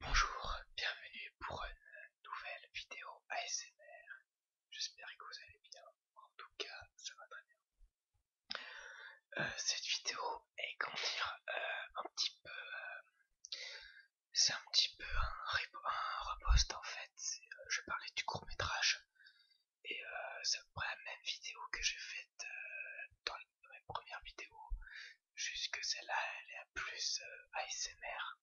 Bonjour, bienvenue pour une nouvelle vidéo ASMR. J'espère que vous allez bien. En tout cas, ça va très bien. Euh, cette vidéo est comment dire euh, un petit peu. Euh, c'est un petit peu un, repost en fait. je parlais du court métrage et c'est à la même vidéo que j'ai faite dans mes premières vidéos Jusque celle-là, elle est à plus euh, ASMR.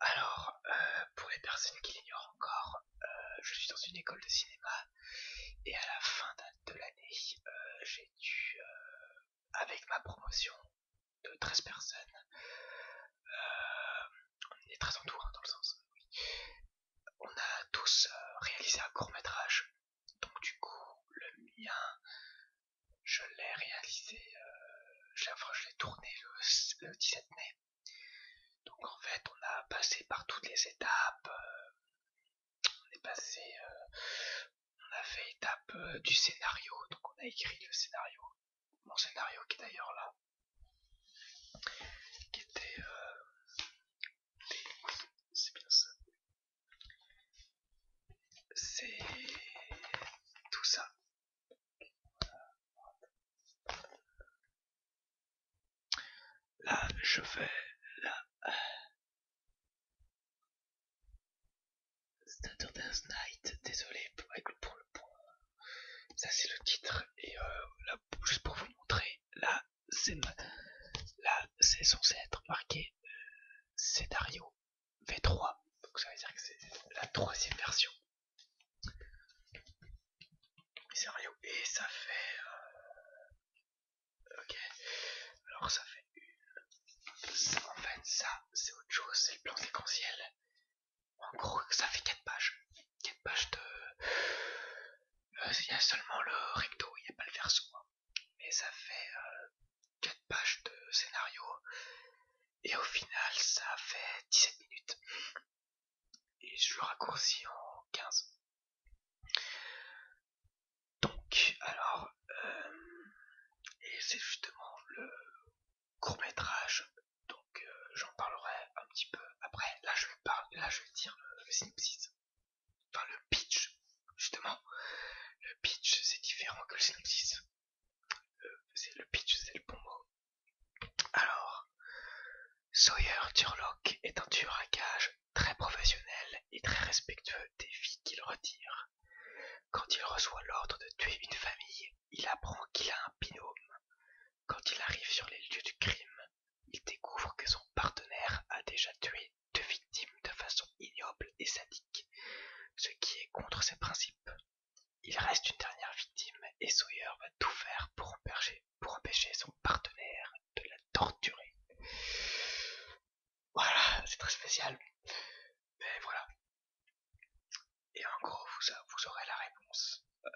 Alors, euh, pour les personnes qui l'ignorent encore, euh, je suis dans une école de cinéma et à la fin de l'année, j'ai dû, avec ma promotion de 13 personnes, on est très entouré hein, dans le sens, oui, on a tous réalisé un court métrage donc du coup, le mien, je l'ai réalisé, euh, je, enfin, je l'ai tourné le, 17 mai. Donc en fait, on a passé par toutes les étapes. Euh, on est passé, euh, on a fait étape du scénario, donc on a écrit le scénario, mon scénario qui est d'ailleurs là, qui était c'est bien ça. C'est tout ça. Là, je fais la Saturday's Night, désolé pour, le point. Ça c'est le titre et euh, juste pour vous montrer, là c'est là c'est censé être marqué euh, scénario V3. Donc ça veut dire que c'est la troisième version. Scénario. Et ça fait. Euh, ok. Alors ça fait une. Ça, en fait, ça, c'est autre chose, c'est le plan séquentiel. En gros, ça fait 4 pages. 4 pages de. Euh, il y a seulement le recto, il n'y a pas le verso. Hein mais ça fait euh, quatre 4 pages de scénario et au final ça fait 17 minutes et je le raccourcis en 15 donc alors euh, et c'est justement le court métrage donc euh, j'en parlerai un petit peu après là je vais là je vais dire le synopsis dans le pitch, justement, le pitch c'est différent que le synopsis. Euh, c'est le pitch c'est le bon mot. Alors, Sawyer Turlock est un tueur à gages très professionnel et très respectueux des vies qu'il retire. Quand il reçoit l'ordre de tuer une famille, il apprend qu'il a un binôme. Quand il arrive sur les lieux du crime, il découvre que son partenaire a déjà tué deux victimes de façon ignoble et sadique, ce qui est contre ses principes. Il reste une dernière victime et Sawyer va tout faire pour empêcher, son partenaire de la torturer. Voilà, c'est très spécial. Mais voilà. Et en gros, vous, aurez la réponse. Euh,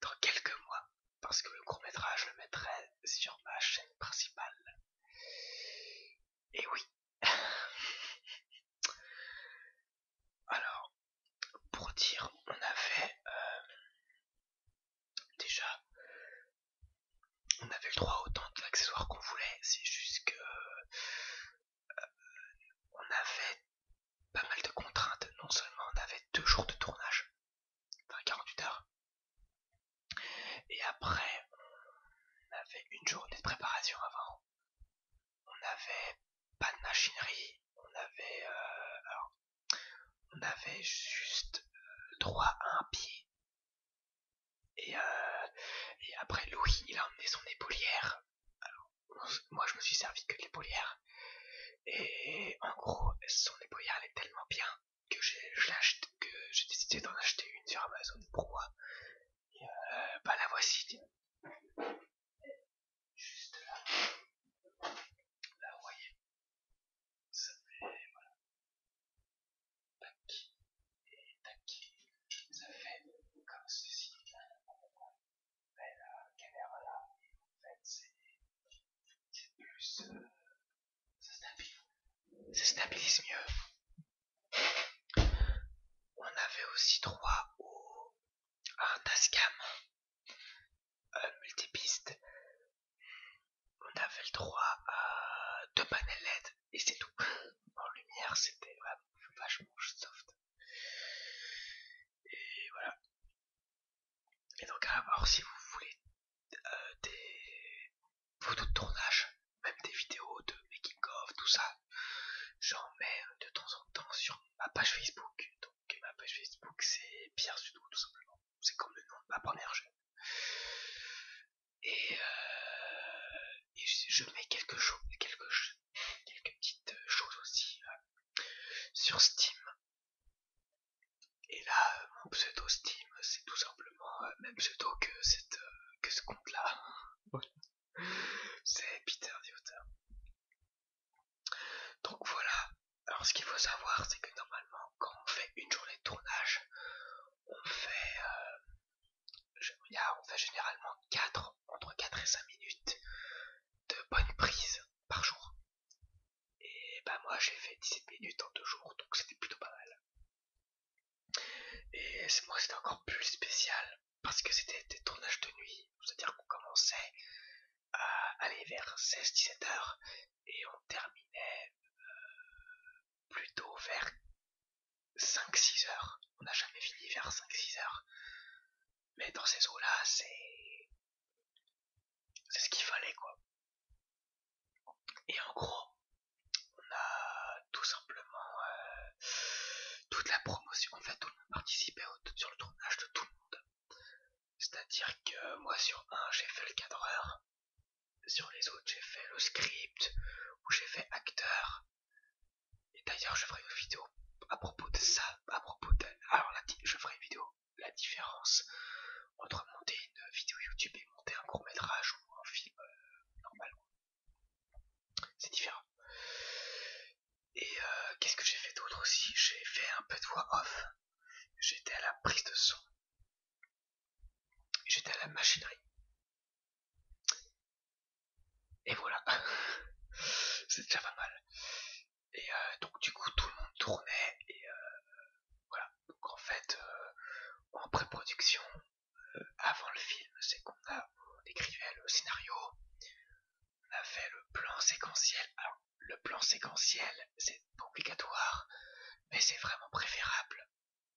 dans quelques mois, parce que le court métrage le mettrait sur ma chaîne principale. Et oui. Alors, pour dire, on avait euh, déjà, on avait le droit autant autant d'accessoires qu'on voulait. C'est juste que euh, on avait pas mal de contraintes. Non seulement on avait deux jours de tournage, enfin 48 heures. Et après, on avait une journée de préparation avant. On avait pas de machinerie, on avait, euh, juste euh, droit à un pied. Euh, et, après, Louis, il a emmené son épaulière. moi, je me suis servi que de l'épaulière. Et en gros, son ébouillard est tellement bien que j'ai décidé d'en acheter une sur Amazon pourquoi euh, bah la voici. Juste là. Là, vous voyez. Ça fait, voilà. Tac. Et tac. Ça fait comme ceci la caméra là, en fait, c'est plus. Euh, ça stabilise. mieux. On avait aussi droit au. à un Tascam. Euh, multipiste. On avait le droit à deux panels LED et c'est tout. En lumière, c'était vachement soft. Et voilà. Et donc à voir si vous voulez euh, des photos de tournage, même des vidéos de making of, tout ça. J'en mets de temps en temps sur ma page Facebook. Donc ma page Facebook c'est Pierre Sudou tout simplement. C'est comme le nom de ma première jeune. Et, euh, je, mets quelque chose, quelques petites choses aussi euh, sur Steam. Et là, euh, mon pseudo Steam, c'est tout simplement le euh, même pseudo que, euh, ce compte-là. c'est Peter Dieter. Donc voilà. Alors ce qu'il faut savoir, c'est que normalement, quand on fait une journée de tournage, on fait, on fait généralement 4, entre 4 et 5 minutes de bonne prise par jour. Et bah moi j'ai fait 17 minutes en deux jours, donc c'était plutôt pas mal. Et c'est moi c'était encore plus spécial parce que c'était des tournages de nuit, c'est-à-dire qu'on commençait à aller vers 16-17 heures et on terminait euh, plutôt vers 5-6 heures. On n'a jamais fini vers 5-6 heures. Mais dans ces eaux-là, c'est c'est ce qu'il fallait quoi. Et en gros, on a tout simplement euh, toute la promotion. En fait, tout le monde sur le tournage de tout le monde. C'est-à-dire que moi sur un, j'ai fait le cadreur. Sur les autres, j'ai fait le script ou j'ai fait acteur. Et d'ailleurs, je ferai une vidéo à propos de ça, à propos de, alors là, je ferai une vidéo. La différence entre monter une vidéo YouTube et monter un court métrage ou un film euh, normalement, c'est différent. Et euh, qu'est-ce que j'ai fait d'autre aussi J'ai fait un peu de voix off. J'étais à la prise de son. J'étais à la machinerie. Et voilà. c'est déjà pas mal. Et euh, donc du coup tout le monde tournait et euh, voilà. Donc en fait euh, en pré-production, avant le film, c'est qu'on a écrivait le scénario, on a fait le plan séquentiel. Alors le plan séquentiel c'est obligatoire, mais c'est vraiment préférable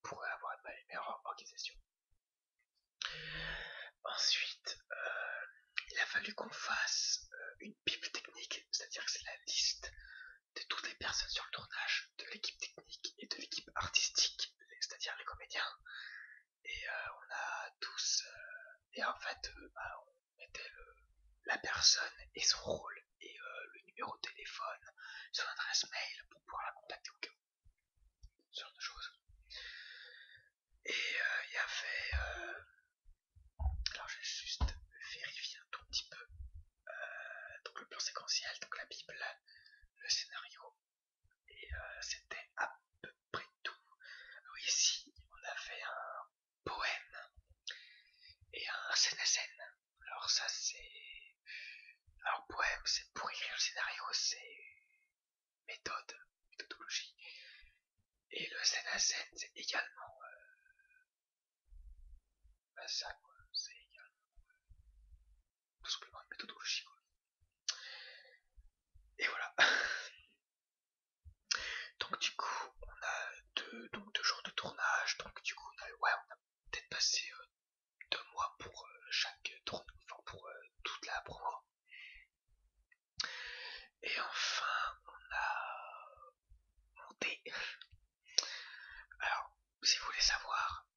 pour avoir une meilleure organisation. Ensuite, il a fallu qu'on fasse euh, une bible technique, c'est-à-dire que c'est la liste de toutes les personnes sur le tournage, de l'équipe technique et de l'équipe artistique, c'est-à-dire les comédiens. Et euh, on a tous... Euh, et en fait, bah, on mettait la personne et son rôle et le numéro de téléphone, son adresse mail pour pouvoir la contacter au cas où. genre de choses. Et euh, il y avait... Euh, alors je vais juste vérifier un tout petit peu. Euh, donc le plan séquentiel, donc la Bible, le scénario. Et c'était à peu près tout. Oui, ici, on avait un poème et un scène Alors ça c'est... Alors poème, c'est pour écrire le scénario, c'est méthode, méthodologie. Et le scène à c'est également euh, bah, ça, C'est également euh, tout simplement une méthodologie, Et voilà. donc du coup, on a deux, donc deux jours de tournage. Donc du coup, on a, ouais, on a peut-être passé euh, deux mois pour chaque tournage enfin pour toute la promo. Et enfin, on a monté. Alors, si vous voulez savoir,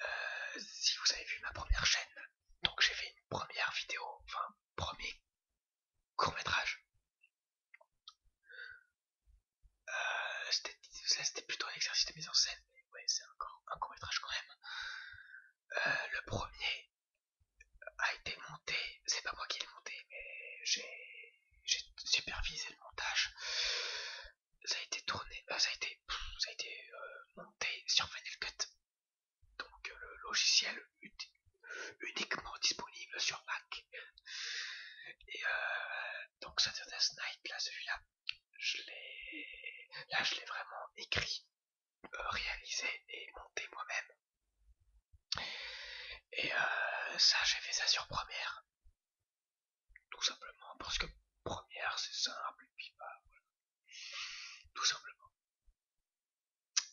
euh, si vous avez vu ma première chaîne, donc j'ai fait une première vidéo, enfin, premier court métrage. Euh, c'était plutôt un exercice de mise en scène, mais ouais, c'est encore un court métrage quand même. Euh, le premier, a ah, été monté, c'est pas moi qui l'ai monté, mais j'ai supervisé le montage. Ça a été tourné, euh, ça a été, ça a été euh, monté sur Final Cut, donc euh, le logiciel uniquement disponible sur Mac. Et euh, donc c'est Night, là, celui-là, je là, je l'ai vraiment écrit réaliser et monter moi-même. Et euh, ça, j'ai fait ça sur première. Tout simplement, parce que première, c'est simple, et puis pas, bah, voilà. Tout simplement.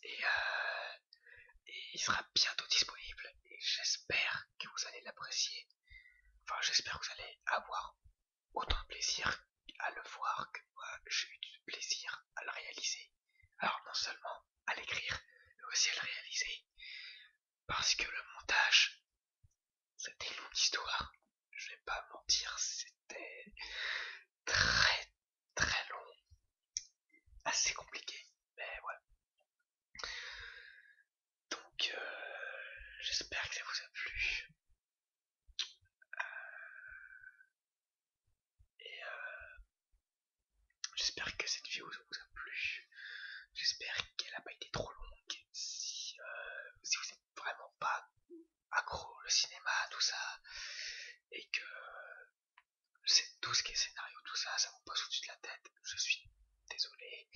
Et, euh, et il sera bientôt disponible, et j'espère que vous allez l'apprécier. Enfin, j'espère que vous allez avoir autant de plaisir à le voir que moi j'ai eu du plaisir à le réaliser. Alors non seulement à l'écrire, mais aussi à le réaliser. Parce que le montage, c'était une longue histoire. Je vais pas mentir, c'était très très long. Assez compliqué, mais voilà. Donc euh, j'espère que ça vous a plu. Et euh, j'espère que cette vidéo vous a plu. J'espère qu'elle n'a pas été trop longue. Si, euh, vous n'êtes vraiment pas accro au cinéma, tout ça, et que tout ce qui est scénario, tout ça, ça vous passe au-dessus de la tête, je suis désolé.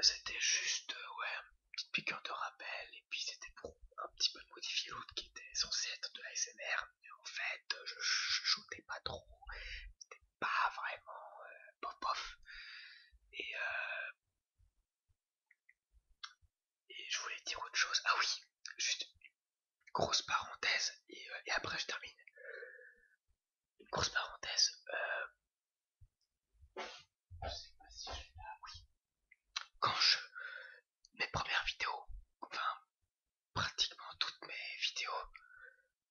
C'était juste euh, ouais, une petite piqueur de rappel et puis c'était pour un petit peu modifier l'autre qui était censé être de la Mais En fait, euh, je shootais pas trop, c'était pas vraiment euh, pof pop Et, euh, et je voulais dire autre chose. Ah oui, juste une grosse parenthèse et, euh, après je termine. Une grosse parenthèse. Je ah, sais pas si je oui. Quand je. Mes premières vidéos, enfin, pratiquement toutes mes vidéos,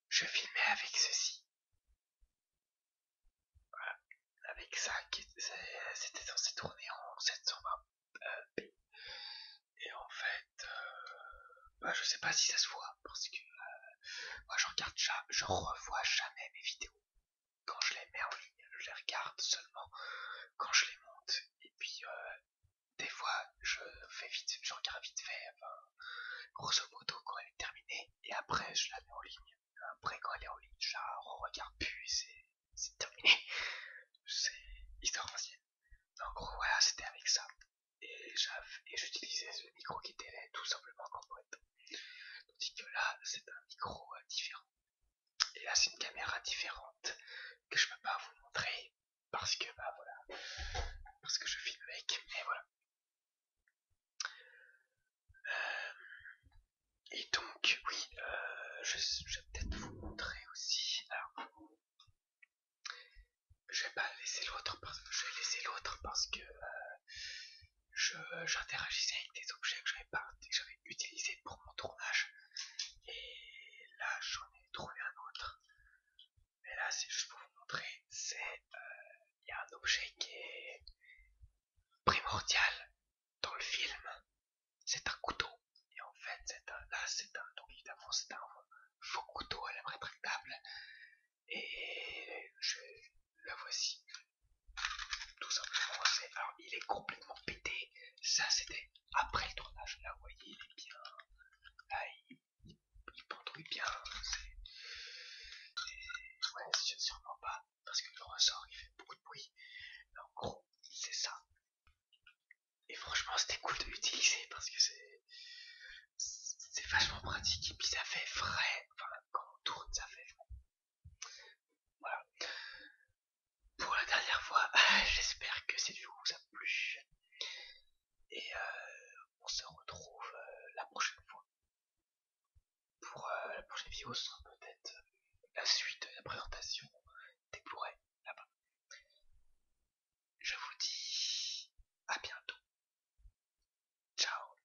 je filmais avec ceci. Avec ça, c'était censé tourner en 720p. Et en fait, je euh, ne bah, je sais pas si ça se voit, parce que euh, moi je regarde, jamais, je revois jamais mes vidéos quand je les mets en ligne, je les regarde seulement quand je les monte. Et puis, euh, des fois, je fais vite, je regarde vite fait, grosso modo, quand elle est terminée, et après, je la mets en ligne. Après, quand elle est en ligne, je la regarde plus, c'est, c'est terminé. C'est histoire ancienne. Donc voilà, c'était avec ça. Et j'utilisais ce micro qui était là tout simplement que là, c'est un micro euh, différent. Et là, c'est une caméra différente que je peux pas vous montrer parce que, bah voilà, parce que je filme avec, et voilà. Euh, et donc, oui, euh, je, vais peut-être vous montrer aussi. Alors, je vais pas laisser l'autre parce que je vais laisser l'autre parce que j'interagissais avec des objets que j'avais pas, j'avais utilisé pour mon tournage. Et là, j'en ai trouvé un autre. Mais là, c'est juste pour vous montrer, c'est il euh, y a un objet qui est primordial dans le film. C'est un couteau. Et en fait, c'est un, c'est un, donc évidemment, c'est un faux couteau à Et je, le voici. Tout simplement, Alors, il est complètement pété. Ça, c'était après le tournage. Là, vous voyez, il est bien. Là, il, il, bien. C'est. Ouais, je sûrement pas. Parce que le ressort, il fait beaucoup de bruit. Mais en gros, c'est ça. Et franchement, c'était cool de l'utiliser parce que c'est. C'est vachement pratique. Et puis, ça fait vrai. Enfin, quand on tourne, ça fait voilà. Pour la dernière fois, j'espère que cette vidéo vous a plu. Et euh, on se retrouve euh, la prochaine fois. Pour euh, la prochaine vidéo, ce sera peut-être la suite de la présentation des blu là-bas. Je vous dis à bientôt. Ciao